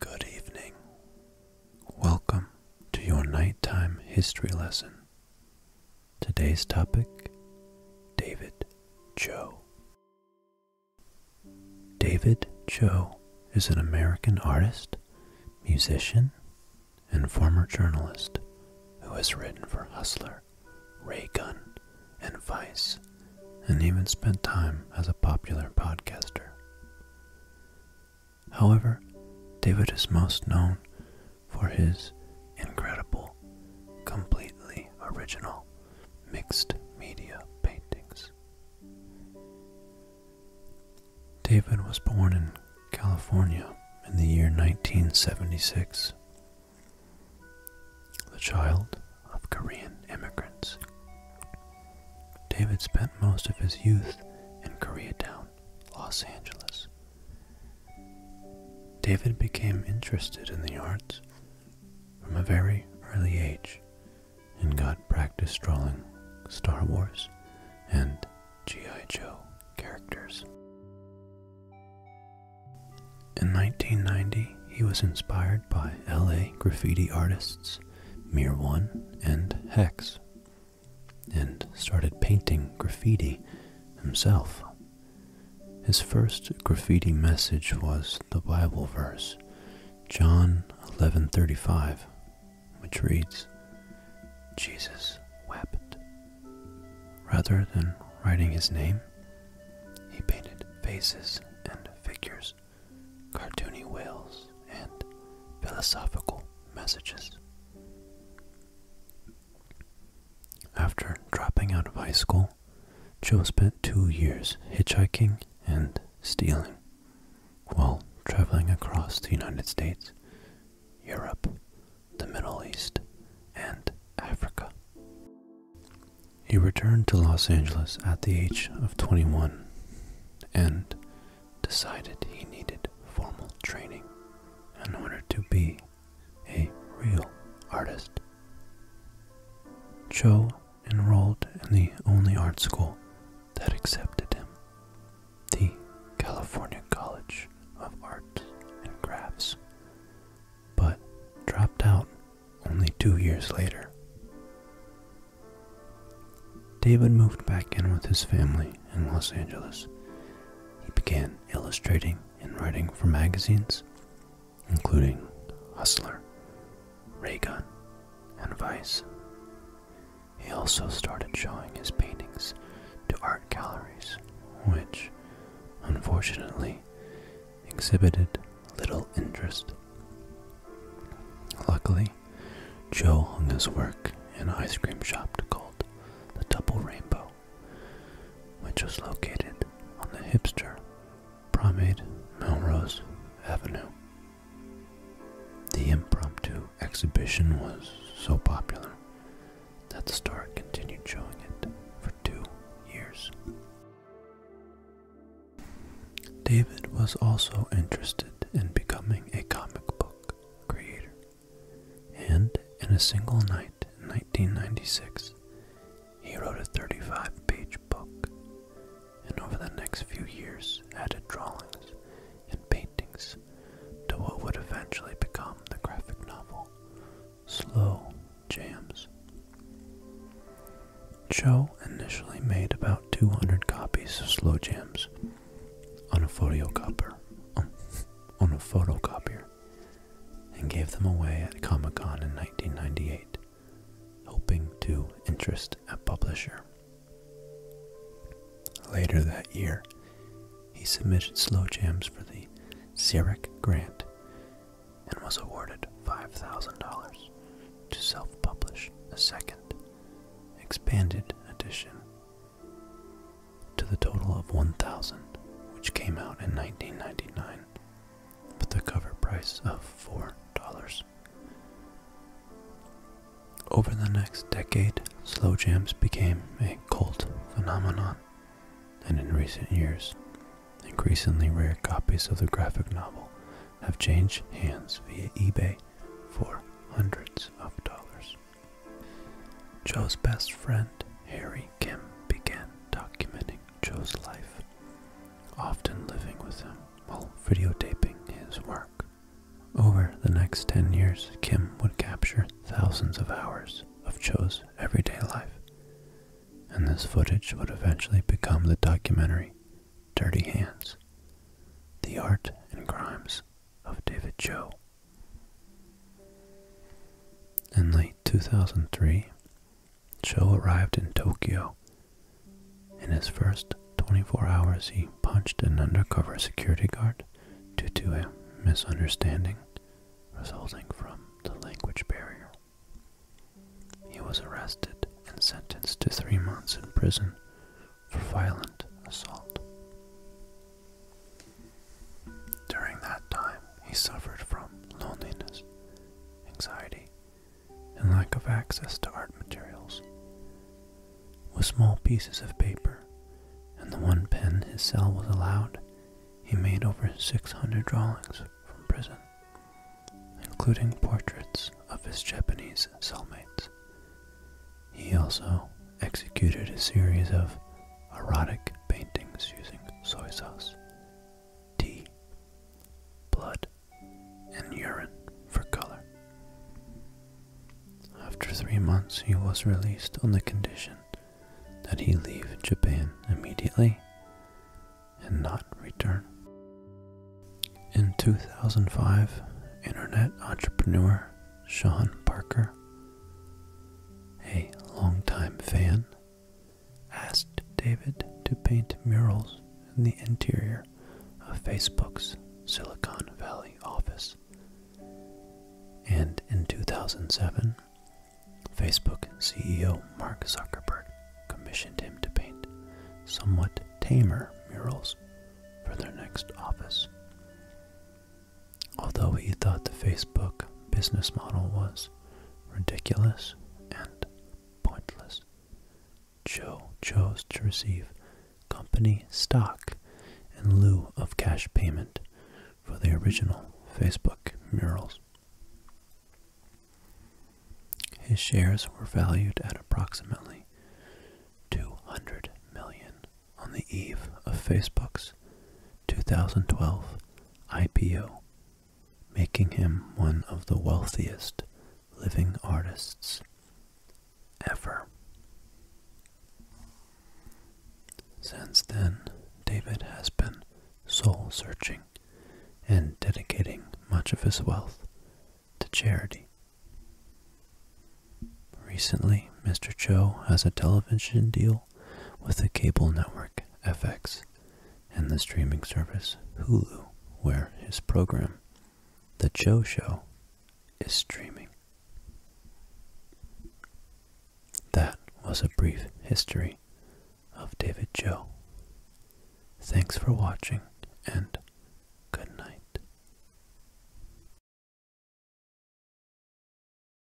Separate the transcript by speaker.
Speaker 1: Good evening. Welcome to your nighttime history lesson. Today's topic David Cho. David Cho is an American artist, musician, and former journalist who has written for Hustler, Ray Gun, and Vice, and even spent time as a popular podcaster. However, David is most known for his incredible, completely original mixed media paintings. David was born in California in the year 1976 the child of Korean immigrants. David spent most of his youth in Koreatown, Los Angeles. David became interested in the arts from a very early age and got practice drawing Star Wars and G.I. Joe characters. In 1990, he was inspired by LA graffiti artists Mir One and Hex and started painting graffiti himself. His first graffiti message was the Bible verse John 11:35, which reads, "Jesus wept." Rather than writing his name, he painted faces and figures, cartoony whales, and philosophical messages. After dropping out of high school, Joe spent two years hitchhiking and stealing while traveling across the United States, Europe, the Middle East, and Africa. He returned to Los Angeles at the age of 21 and decided he needed formal training in order to be a real artist. Cho enrolled in the only art school that accepted him, the California College of Art and Crafts, but dropped out only two years later. David moved back in with his family in Los Angeles. He began illustrating and writing for magazines, including Hustler, Raygun, and Vice. He also started showing his paintings to art galleries, which unfortunately, exhibited little interest. Luckily, Joe hung his work in an ice cream shop called the Double Rainbow, which was located on the hipster Promenade Melrose Avenue. The impromptu exhibition was so popular that the store continued showing it for two years. David was also interested in becoming a comic book creator, and in a single night in 1996, he wrote a 35 page book and over the next few years added drawings and paintings to what would eventually become the graphic novel Slow Jams. Joe initially made about 200 copies of Slow Jams on a photocopier, um, on a photocopier, and gave them away at Comic Con in 1998, hoping to interest a publisher. Later that year, he submitted slow jams for the Zurich Grant and was awarded $5,000 to self publish a second, expanded edition to the total of 1,000, which came out in 1999 with a cover price of $4. Over the next decade, slow jams became a cult phenomenon, and in recent years, increasingly rare copies of the graphic novel have changed hands via eBay for hundreds of dollars. Joe's best friend, Harry Kim, began documenting Joe's life, often living with him while videotaping his work. Over the next 10 years, Kim would capture thousands of hours of Cho's everyday life, and this footage would eventually become the documentary Dirty Hands The Art and Crimes of David Cho. In late 2003, Cho arrived in Tokyo in his first 24 hours, he punched an undercover security guard due to a misunderstanding resulting from the language barrier. He was arrested and sentenced to three months in prison for violent assault. During that time, he suffered from loneliness, anxiety, and lack of access to art materials. With small pieces of paper and the one pen his cell was allowed, he made over 600 drawings from prison, including portraits of his Japanese cellmates. He also executed a series of erotic paintings using soy sauce, tea, blood, and urine for color. After three months, he was released on the condition that he leave Japan immediately and not return. In 2005, internet entrepreneur Sean Parker, a longtime fan asked David to paint murals in the interior of Facebook's Silicon Valley office. And in 2007, Facebook CEO Mark Zuckerberg commissioned him to paint somewhat tamer murals for their next office. Although he thought the Facebook business model was ridiculous and pointless. Joe chose to receive company stock in lieu of cash payment for the original Facebook murals. His shares were valued at approximately 200 million on the eve of Facebook's 2012 IPO making him one of the wealthiest living artists ever. Since then, David has been soul searching and dedicating much of his wealth to charity. Recently, Mr. Cho has a television deal with the cable network FX and the streaming service Hulu, where his program, The Joe Show, is streaming. That was a brief history of David Joe. Thanks for watching and good night.